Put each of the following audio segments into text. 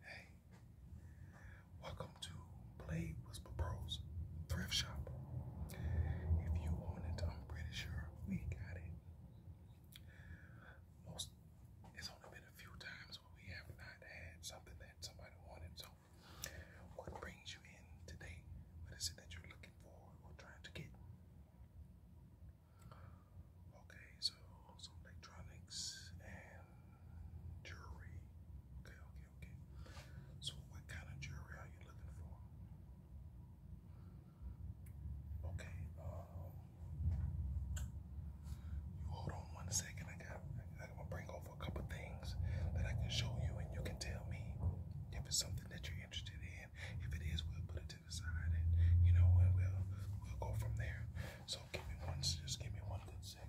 Hey, welcome to Blade Whisper Bros Thrift Shop. If you want it, I'm pretty sure we got it. Most it's only been a few times where we have not had something that somebody wanted. So, what brings you in today? What is it that you're looking for or trying to get? Okay, so some electronics and jewelry. Okay, okay, okay. So what kind of jewelry are you looking for? Okay, um, you hold on one second. I got I'm gonna bring over a couple things that I can show you and you can tell me if it's something that you're interested in. If it is, we'll put it you know, we'll go from there. So give me one, just give me one good second.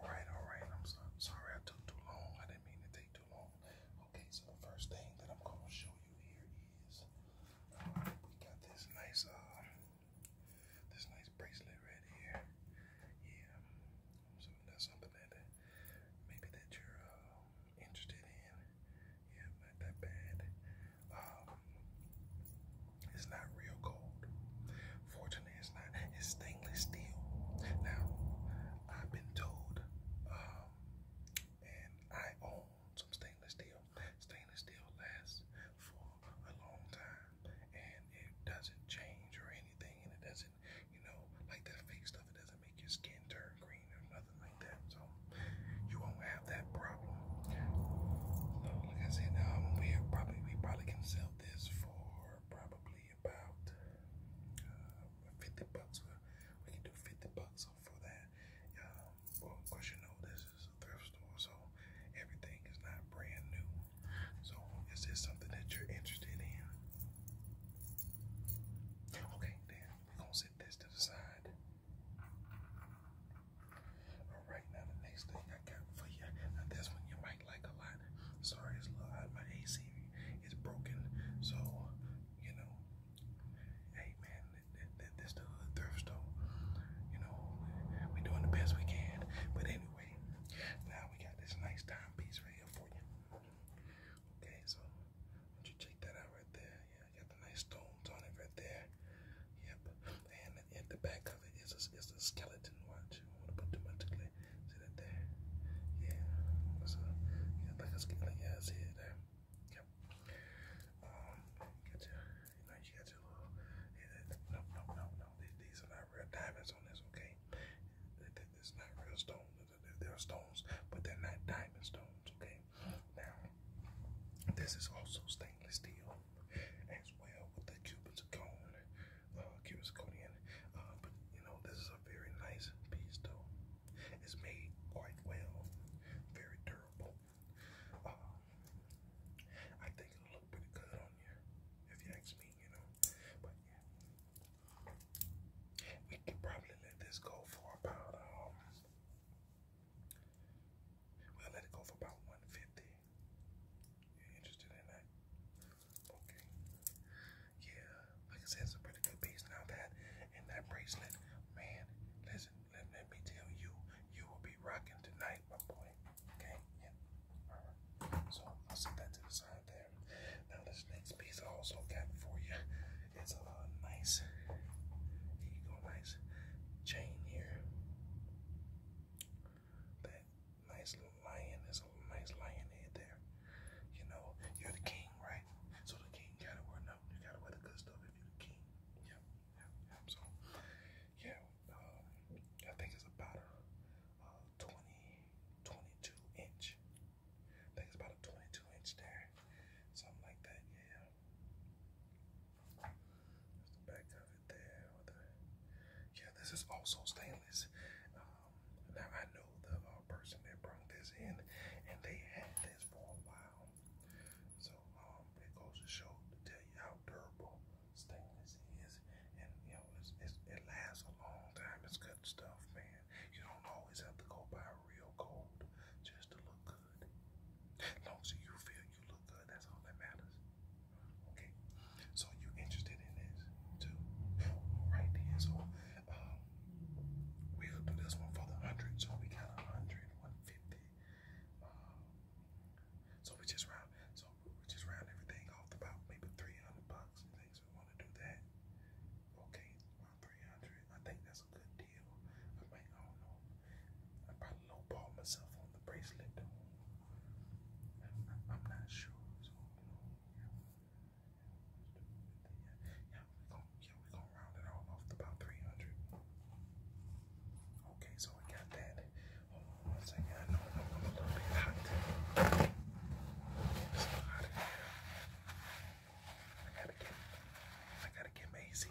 Alright, alright. I'm sorry I took too long. I didn't mean to take too long. Okay, so the first thing that I'm going to show you here is uh, we got this nice, uh, this nice bracelet right here. Yeah, so that's something that maybe that you're uh, interested in. Yeah, not that bad. Um, it's not real gold. Fortunately, it's not. It's stainless steel. Now, I've been told, um, and I own some stainless steel. Stainless steel lasts for a long time, and it doesn't change or anything, and it doesn't, you know, like that fake stuff. It doesn't make your skin turn green or nothing like that. So you won't have that problem. like I said, um, we probably we probably can sell this for for probably about uh, 50 bucks. We can do 50 bucks for that. Um, of course, you know, this is a thrift store, so everything is not brand new. So, is this something that you're interested in? Okay, then we're gonna set this to the side. Alright, now the next thing I got for you. Now this one you might like a lot. Sorry, it's low. My AC is broken. So, you know, hey man, this the hood thrift store. You know, we're doing the best we can. But anyway, now we got this nice timepiece right here for you. Okay, so don't you check that out right there? Yeah, got the nice stones on it right there. Yep at the back of it is a, skeleton. Watch, I want to put too much glare. See that there? Yeah, so yeah, like a skeleton. Yeah, see it there. Yep. Um, got your, you know, you got your little. no, no, no, no. These are not real diamonds on this. Okay, it's not real stones. They're stones, but they're not diamond stones. Okay, now this is also stainless steel, as well with the Cupid's cone, uh, Cupid's uh, but you know, this is a very nice piece though. It's made quite well, very durable. Uh, I think it'll look pretty good on you, if you ask me. You know, but yeah, we can probably let this go for about um, We'll let it go for about 150. you interested in that? Okay. Yeah, like I said, it's a pretty good piece. Now that and that bracelet, man, listen, let, let me tell you, you will be rocking tonight, my boy. Okay? Yeah. Alright. So I'll set that to the side there. Now this next piece I also got for you is nice, there you go, nice chain here. That nice little lion, there's a nice lion head there. You know, you're the king, right? So the king gotta wear no, you gotta wear the good stuff if you're the king. Yep, So yeah, uh, I think it's about a uh, inch. I think it's about a 22 inch there, something like that. Yeah, yeah, this is also stainless. Um, now I know the uh, person that brought this in, and they had this for a while. So um, it goes to show to tell you how durable stainless is, and you know it lasts a long time. It's good stuff, man. You don't always have to go buy real gold just to look long as you feel you look good, that's all that matters. Okay. So you interested in this too? Right there. So um we'll do this one for the hundred. So we got a hundred, one fifty. Um, so we just round so we just round everything off about maybe three hundred bucks things. We want to do that. Okay, 300. I think that's a good deal. I might, I don't know. I probably lowball myself on the bracelet I'm not sure. So, you yeah. we're gonna, round it all off to about 300. Okay, so we got that. Hold on one second. I know I'm a little bit hot. It's hot I gotta get, I gotta get my fixed,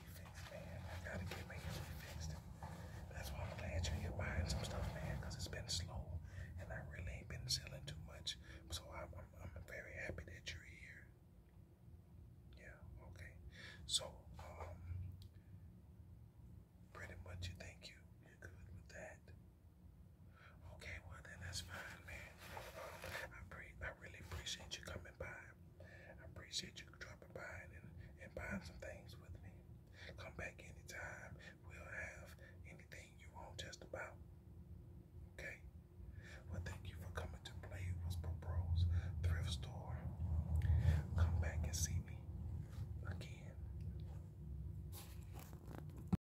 man. I gotta get my fixed. That's why I'm glad you're here buying some stuff, man, it's been slow and I really ain't been selling too much. So I'm, I'm, very happy that you're here. Yeah, okay. So, um, pretty much you think you, you're good with that. Okay, well then that's fine, man. I pre I really appreciate you coming by. I appreciate you dropping by and and buying some things with me. Come back anytime. We'll have anything you want just about. Okay. Well, thank you for coming to Play Whisper Bros Thrift Store. Come back and see me again.